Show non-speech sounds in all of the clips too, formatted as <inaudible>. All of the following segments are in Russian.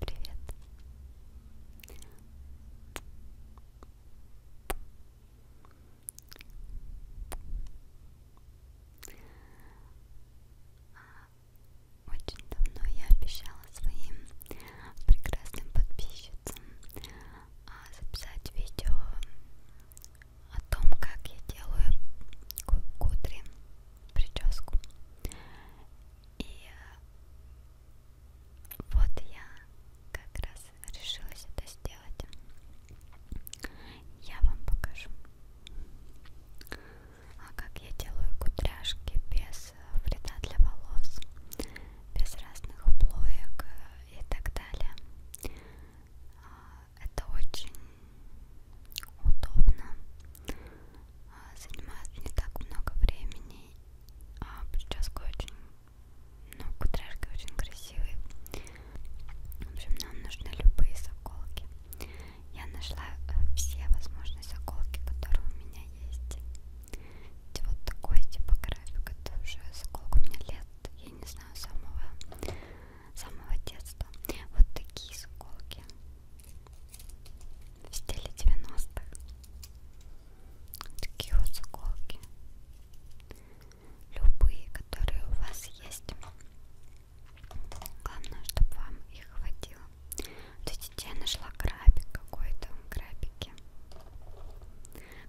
Привет. Очень давно я обещала своим прекрасным подписчицам а, записать видео о том, как я делаю к утру прическу. И э, вот я как раз решилась это сделать. Я вам покажу. А как я делаю кудряшки без э, вреда для волос, без разных плоек э, и так далее. А, это очень удобно а, занимает не так много времени, а прическа очень, ну, кудряшки очень красивые. В общем, нам нужны любые заколки. Я нашла э, все возможные заколки, которые у меня есть. Вот такой типографик, это уже сколько у меня лет, я не знаю, самого, самого детства. Вот такие заколки в стиле 90-х. Такие вот заколки. Любые, которые у вас есть. Главное, чтобы вам их хватило. То есть я нашла крабик какой-то. Крабики.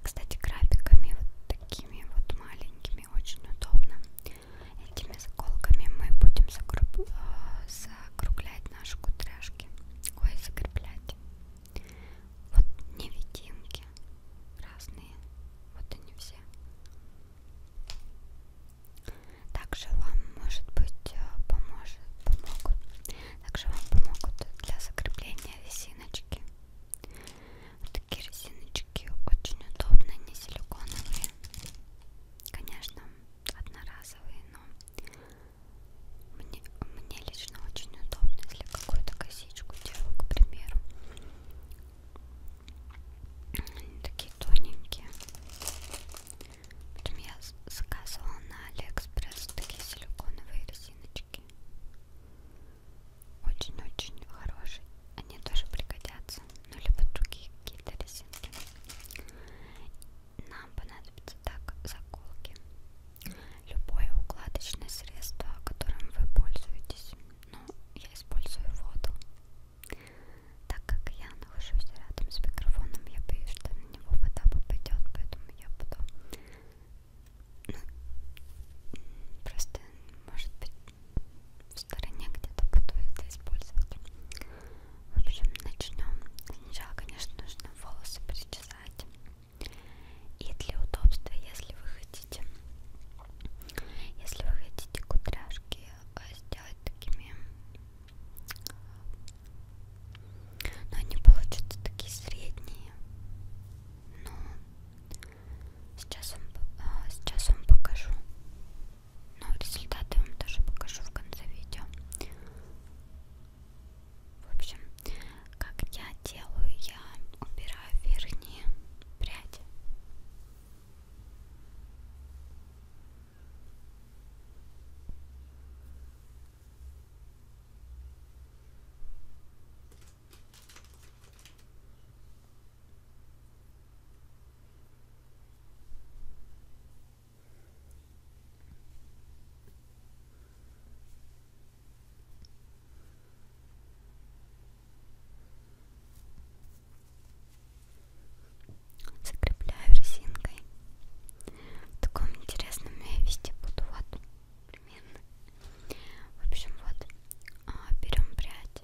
Кстати, крабиками вот такими вот маленькими очень удобно. Этими сколками мы будем закруп... Э, закруглять наши кудряшки. Ой, закреплять. Вот невидимки разные. Вот они все. Также вам, может быть, э, поможет, помогут. Также вам помогут для закрепления резиночки. Вот такие резиночки очень удобные, не силиконовые. Конечно, одноразовые, но мне, мне лично очень удобно, если какую-то косичку делаю, к примеру. Они такие тоненькие. Потом я заказывала на Алиэкспресс такие силиконовые резиночки. Очень-очень хорошие. Они тоже пригодятся ну либо другие какие-то резинки. Нам понадобится так заколки. Любое укладочное средство, которым вы пользуетесь. Ну, я использую воду. Так как я нахожусь рядом с микрофоном, я боюсь, что на него вода попадет, поэтому я буду... Ну, просто, может быть, в стороне где-то буду это использовать. В общем, начнем. Сначала, конечно, нужно волосы причесать. И для удобства, если вы хотите, если вы хотите кудряшки а, сделать такими, но они получатся такие средние. Но сейчас вам, а, сейчас вам покажу. Но ну, результаты вам тоже покажу в конце видео. В общем, как я делаю, я убираю верхние пряди. Закрепляю резинкой. В таком интересном месте буду вот примерно. В общем, вот а, берем прядь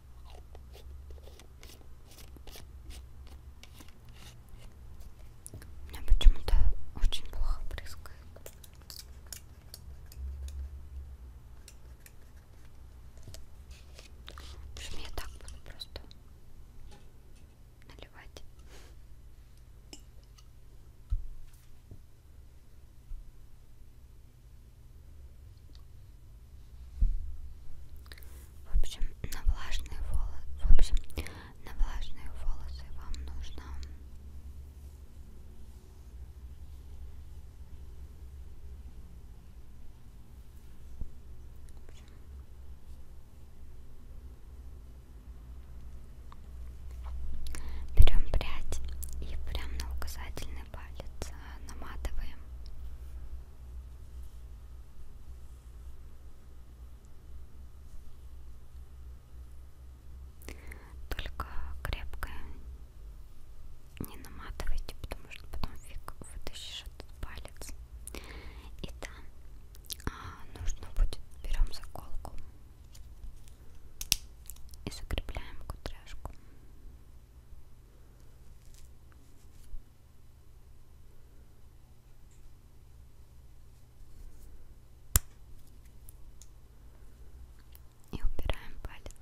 У меня почему-то очень плохо брызгает. В общем, я так буду просто наливать. В общем, на влажные волосы, в общем, на влажные волосы вам нужно Берем прядь и прям на указательный палец а, наматываем. Только крепкое не наматывайте, потому что потом фиг вытащишь этот палец. И там а, нужно будет берем заколку и закрепляем кудряшку. И убираем палец.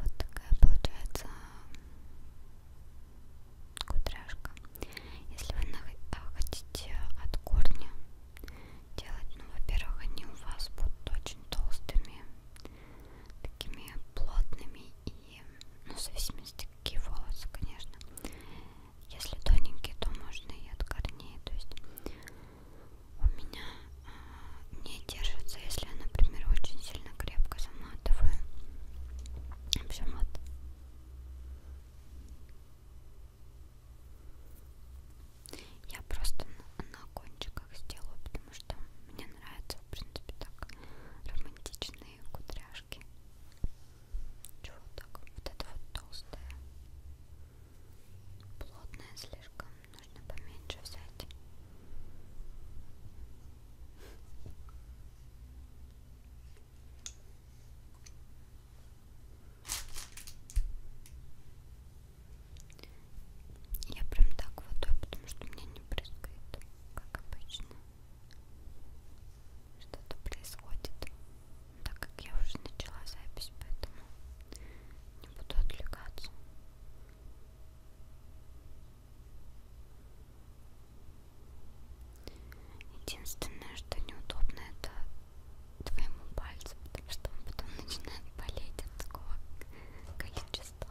Вот такая получается кудряшка. Если вы э, хотите от корня делать. Ну, во-первых, они у вас будут очень толстыми, такими плотными и, ну, в зависимости какие волосы, конечно. Если тоненькие, то можно и от корней. То есть у меня э, а, не держится, если я, например, очень сильно крепко заматываю. Все мат. Я просто на, на кончиках сделаю, потому что мне нравятся, в принципе, так романтичные кудряшки. Чего так? Вот это вот толстое. Плотное слишком. Нужно поменьше взять. Я прям так водой, потому что у меня не брызгает, как обычно. Что-то происходит, так как я уже начала запись, поэтому не буду отвлекаться. Единственное, что неудобно, это твоему пальцу, потому что он потом начинает болеть от такого количества.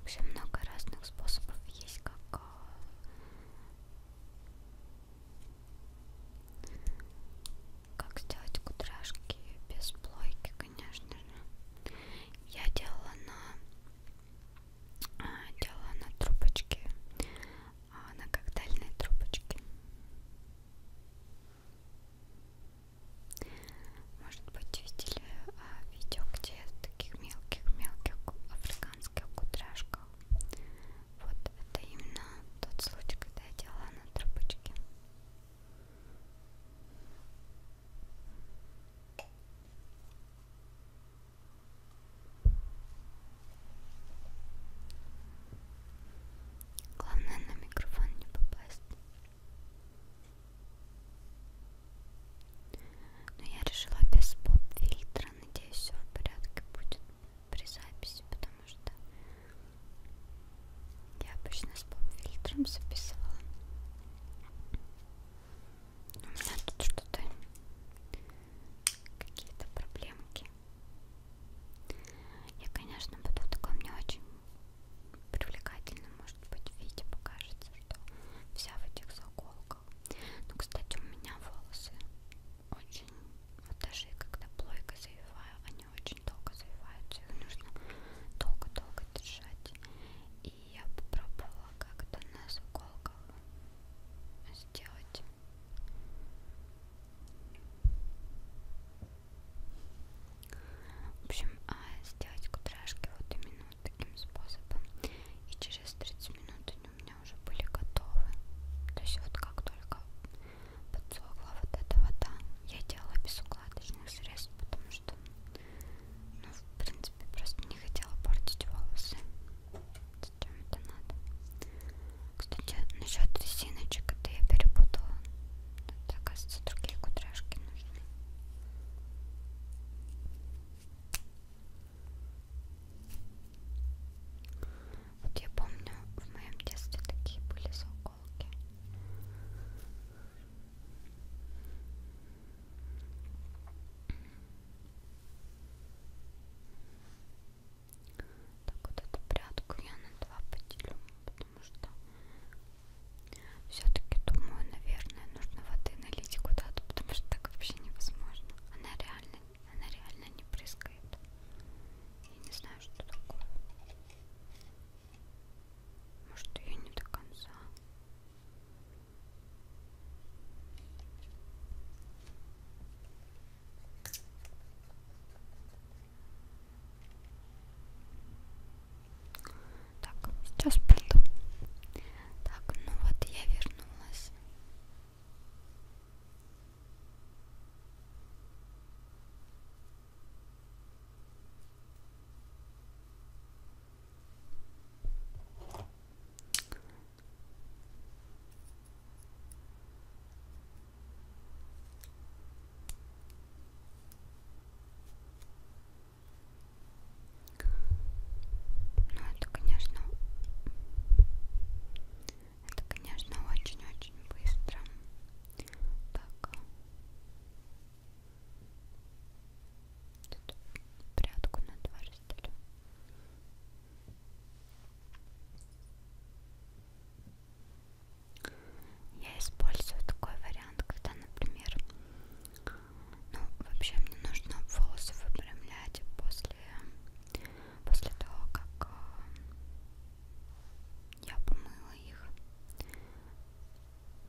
Вообще много разных способов есть, как а, как сделать кудряшки без плойки, конечно же. Я делала на а, делала на трубочке а, на коктейльной трубочке. Может быть, видели а, видео, где в таких мелких-мелких африканских кудряшках. Вот это именно тот случай, когда я делала на трубочке. Главное на микрофон не попасть. Но я решила без поп-фильтра. Надеюсь, все в порядке будет при записи, потому что я обычно с поп-фильтром записывала. У меня тут что-то какие-то проблемки. Я, конечно, буду в таком не очень привлекательном, может быть, виде покажется, что вся в этих заколках. Ну, кстати, у меня волосы очень, вот даже когда плойка завиваю, они очень долго завиваются, их нужно долго-долго держать. И я попробовала как-то на заколках сделать в общем, а, сделать кудряшки вот именно вот таким способом. И через 30 минут они у меня уже были готовы. То есть вот как только подсохла вот эта вода, я делала без укладочных средств, потому что, ну, в принципе, просто не хотела портить волосы зачем это надо. Кстати, насчет резиночек это я перепутала. Это, оказывается, другие кудряшки нужны. Вот я помню, в моем детстве такие были заколки. Так вот эту прядку я на два поделю, потому что все-таки думаю, наверное, нужно воды налить куда-то, потому что так вообще невозможно. Она реально, она реально не прыскает. Я не знаю, что такое. Может, ее не до конца. Так, сейчас пойду. Так, ну вот я вернулась. Ну это, конечно, это, конечно, очень-очень быстро. Так. Тут прятку на два разделю. Я использую такой вариант, когда, например, ну, вообще мне нужно волосы выпрямлять после, после того, как э, я помыла их.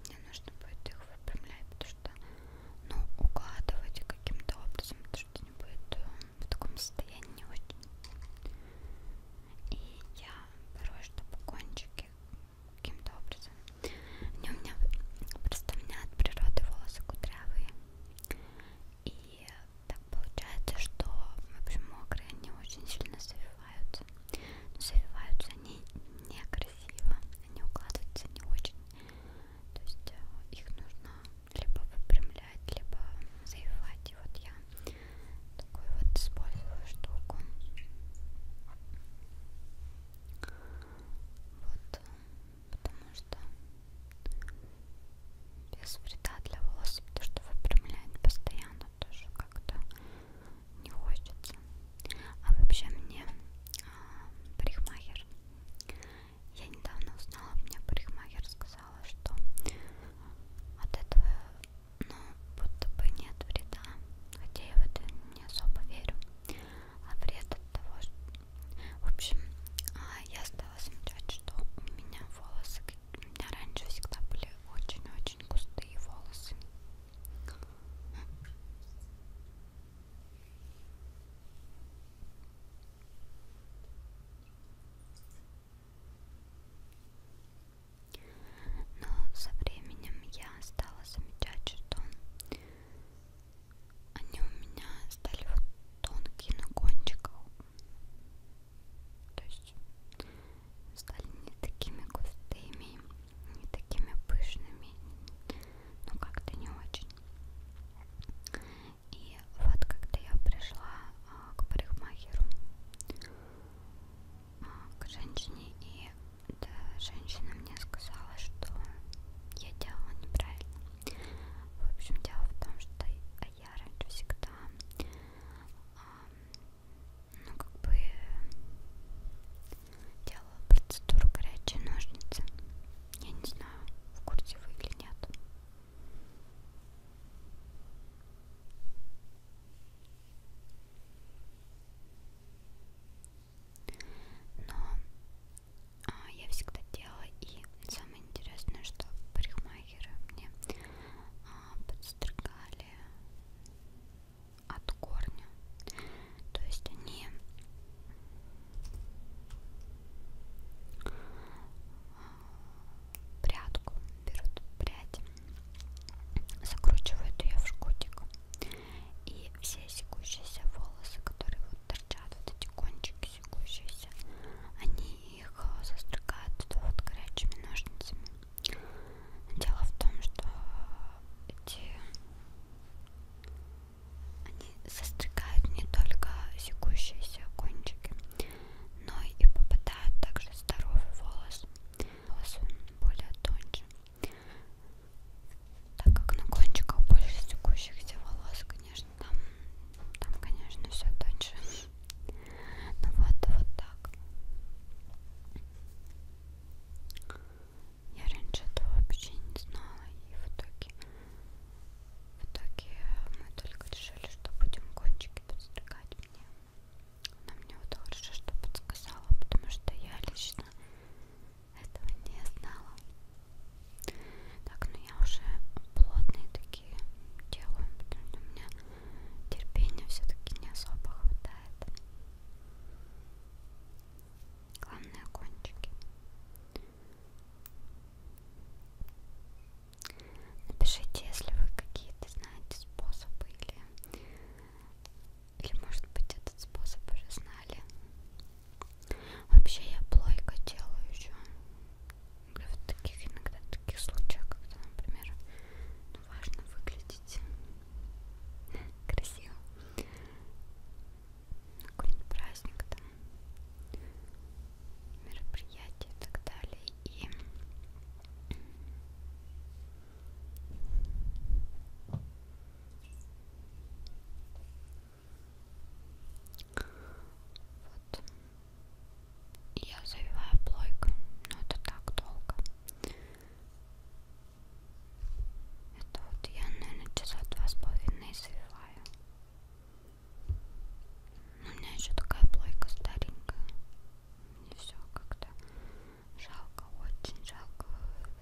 Мне нужно будет их выпрямлять, потому что, ну, укладывать каким-то образом, потому что не будет э, в таком состоянии не очень. И я порой, чтобы кончики каким-то образом. Они у меня просто у меня от природы волосы кудрявые. И так получается, что в общем мокрые они очень сильно завиваются. Но завиваются они некрасиво, они укладываются не очень. То есть э, их нужно либо выпрямлять, либо заевать. И вот я такую вот использую штуку. Вот, потому что без вреда для волос, потому что выпрямлять постоянно тоже как-то не хочется. А вообще мне а, парикмахер я недавно узнала, мне парикмахер сказала, что от этого, ну, будто бы нет вреда, хотя я в это не особо верю, а вред от того, что... В общем, а, я стала замечать, что у меня волосы, у меня раньше всегда были очень-очень густые волосы. Но со временем я стала замечать, что они у меня стали вот тонкие на кончиках. То есть стали не такими густыми, не такими пышными, но ну, как-то не очень. И вот когда я пришла а, к парикмахеру, а, к женщине, и да, женщина мне сказала, что я делала неправильно. В общем, дело в том, что я раньше всегда, а, ну как бы, делала процедуру горячей ножницы. Я не знаю, в курсе вы или нет. Но а, я всегда делала, и самое интересное, что парикмахеры мне а, подстригали от корня. То есть они прядку, берут прядь, закручивают ее в жгутик. И все секущиеся волосы, которые вот торчат, вот эти кончики секущиеся, они их э, застригают вот горячими ножницами. Дело в том, что эти они состригают не только секущиеся кончики, но и попадают также здоровый волос, волосы более тоньше. Так как на кончиках больше секущихся волос, конечно, там, там конечно, все тоньше. Ну вот, вот так. Я раньше этого вообще не знала, и в итоге в итоге мы только решили, что будем кончики подстригать мне. Она мне вот хорошо что подсказала, потому что я лично этого не знала. Так, ну я уже плотные такие делаю, потому что у меня терпения все-таки не особо хватает. Главное кончики. Напишите, если вы какие-то знаете способы или, или может быть этот способ уже знали. Вообще я плойка делаю еще. В таких иногда в таких случаях, когда, например, ну, важно выглядеть красиво какой-нибудь праздник там, мероприятие и так далее. И вот. Я завиваю плойку, но это так долго. Это вот я, наверное, часа два с половиной завиваю. Но у меня еще такая плойка старенькая. Мне все как-то жалко, очень жалко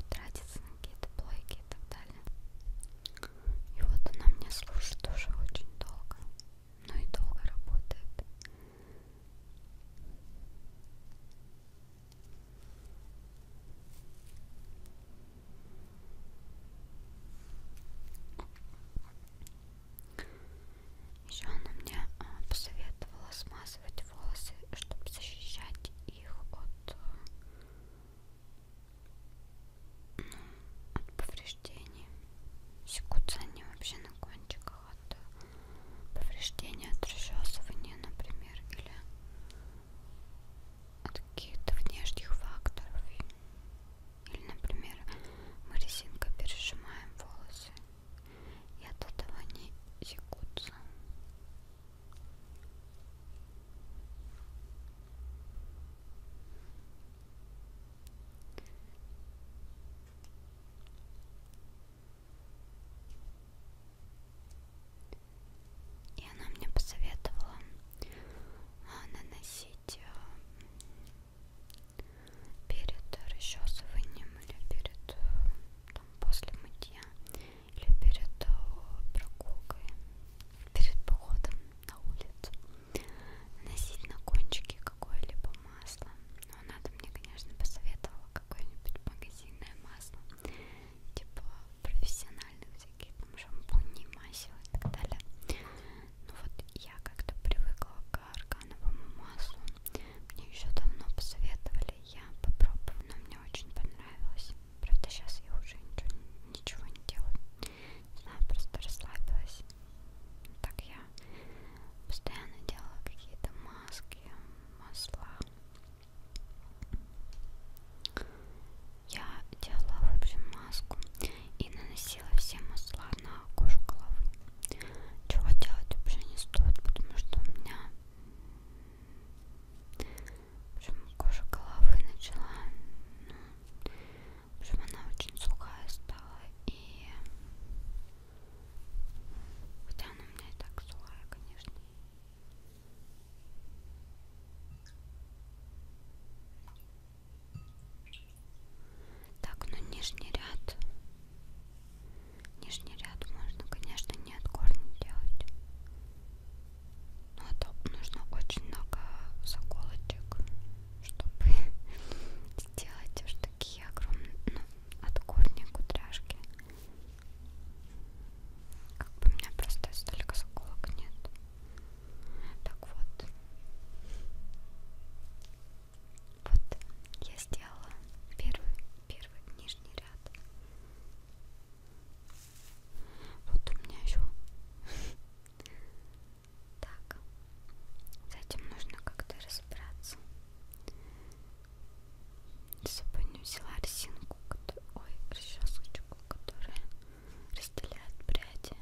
тратиться на какие-то плойки и так далее. И вот она мне служит уже очень долго. Ну и долго работает. Еще она мне а, посоветовала смазывать волосы, чтобы защищать их от, ну, от повреждений. Секутся они вообще на кончиках от э, повреждения, от расчесывания, например, или от каких-то внешних факторов. Или, например, мы резинкой пережимаем волосы, и от этого они секутся. И она мне посоветовала а, наносить э, перед расчесыванием или перед э, там, после мытья или перед э, прогулкой, перед походом на улицу наносить на кончики какое-либо масло. Но она-то мне, конечно, посоветовала какое-нибудь магазинное масло типа профессиональных всяких там шампуней, масел и так далее. Ну вот я как-то привыкла к аргановому маслу. Мне еще давно посоветовали, я попробовала, но мне очень понравилось. Правда, сейчас я уже ничего, ничего не делаю. Не знаю, просто расслабилась. Так я постоянно делала какие-то маски, масла. Я делала, в общем, маску и наносила все масла на кожу головы. Чего делать вообще не стоит, потому что у меня в общем, кожа головы начала, ну, в общем, она очень сухая стала и хотя она у меня и так сухая, конечно. Так, ну нижний ряд. Нижний ряд можно, конечно, не от корня делать. Но это а нужно очень много заколочек, чтобы <laughs> сделать уж такие огромные, ну, от корня кудряшки. Как бы у меня просто столько заколок нет. Так вот. Вот я сделала первый, первый нижний ряд. Вот у меня еще. <laughs> Так, с этим нужно как-то разобраться. Если бы не взяла резинку, ой, расчесочку штучку, которая разделяет пряди.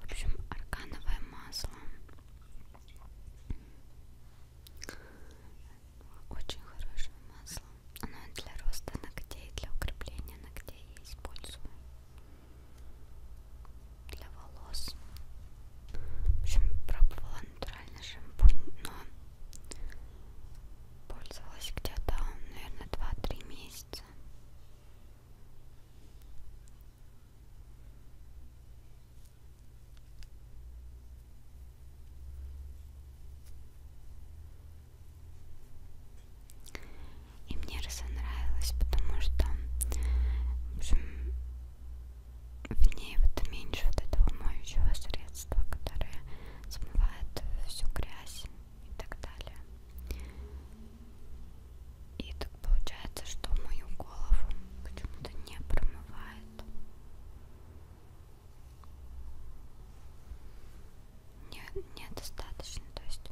В общем, аргановое масло. Очень хорошее масло. Оно для роста ногтей, для укрепления ногтей я использую. Для волос. В общем, пробовала натуральный шампунь, но пользовалась где-то, наверное, 2-3 месяца. И мне разонравилось, потому что в, общем, в ней вот меньше вот этого моющего средства, которое смывает всю грязь и так далее. И так получается, что мою голову почему-то не промывает. Не, недостаточно, то есть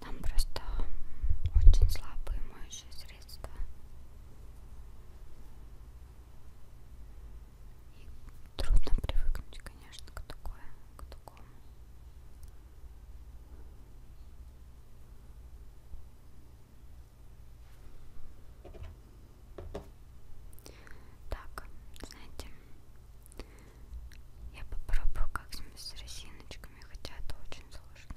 там просто очень слабые моющие средства. И трудно привыкнуть, конечно, к такое, к такому. Так, знаете, я попробую как-нибудь с резиночками, хотя это очень сложно.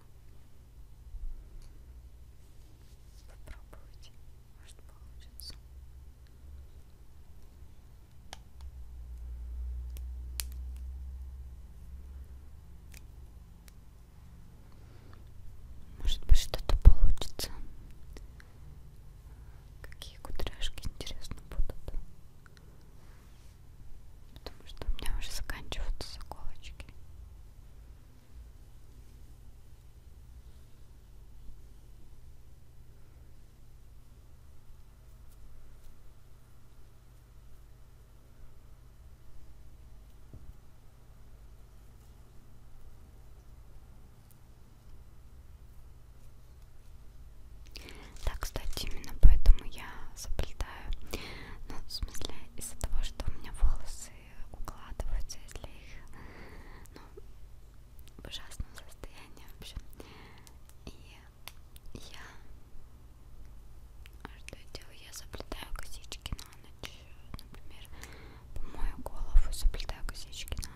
Попробуйте, может получится. Может быть что-то получится. Какие кудряшки интересно будут. Потому что у меня уже заканчиваются заколочки. Да, кстати, именно поэтому я заплетаю. Ну, в смысле, из-за того, что у меня волосы укладываются, если их, ну, в ужасном состоянии, в общем. И я... Что я делаю? Я заплетаю косички на ночь. Например, помою голову, заплетаю косички на ночь.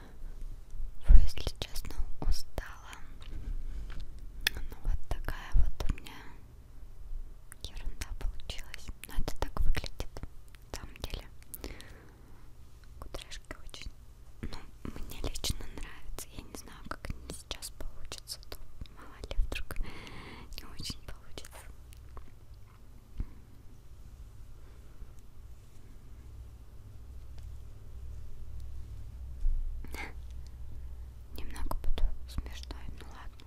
если честно, устала. Ну вот такая вот у меня ерунда получилась. Но ну, это так выглядит, на самом деле. Кудряшки очень... Ну, мне лично нравится. Я не знаю, как они сейчас получатся. А то мало ли, вдруг не очень получится. <laughs> Немного буду смешной, ну ладно.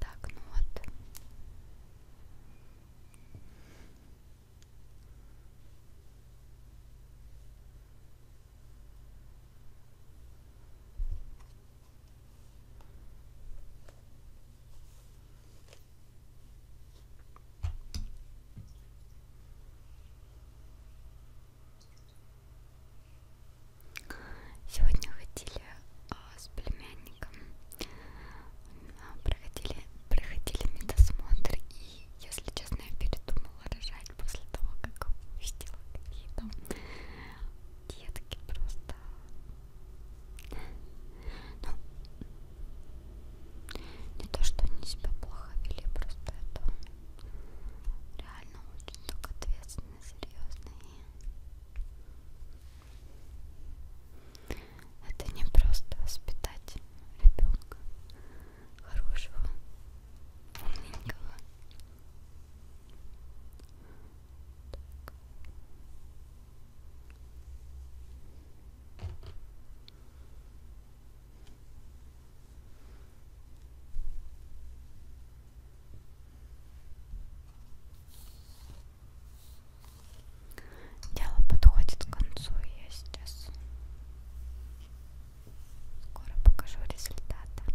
Так, ну вот. Сегодня ходили а, с племянником, а, проходили, проходили медосмотр, и, если честно, я передумала рожать после того, как увидела какие-то детки просто. Ну, не то, что они себя плохо вели, просто это реально очень так ответственно, серьезно это не просто воспитать ребенка хорошего, умненького. Так. Так. Дело подходит к концу, я сейчас скоро покажу результаты.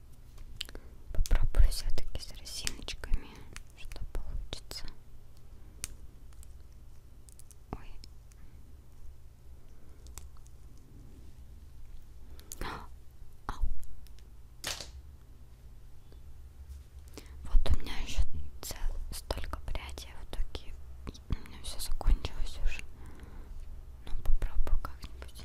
Попробую все-таки с росиночками, что получится. Ой. Ау. Вот у меня еще столько прядей в итоге. У меня все закончилось уже. Ну попробую как-нибудь.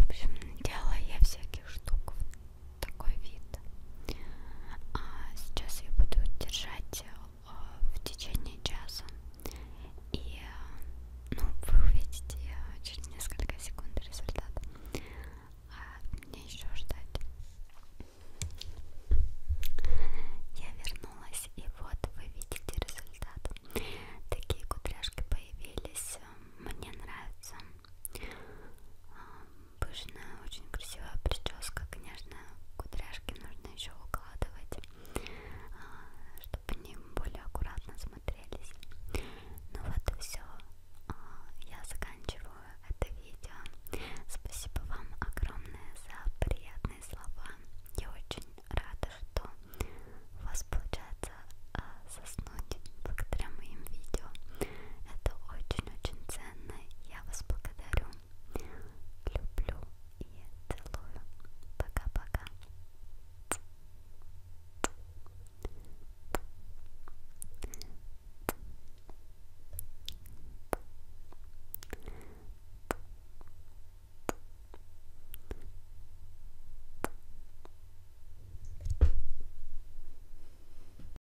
В общем, делала я всяких штук такой вид. А сейчас я буду держать э, в течение часа. И э, ну, вы увидите э, через несколько секунд результат. А мне еще ждать. Я вернулась, и вот вы видите результат. Такие кудряшки появились. Мне нравится пышная, очень красивая прическа, конечно, кудряшки нужно еще укладывать, а, чтобы они более аккуратно смотрелись. Ну вот и все, а, я заканчиваю это видео. Спасибо вам огромное за приятные слова. Я очень рада, что у вас получается а, заснуть благодаря моим видео. Это очень-очень ценно я вас благодарю. Люблю и целую. Пока-пока.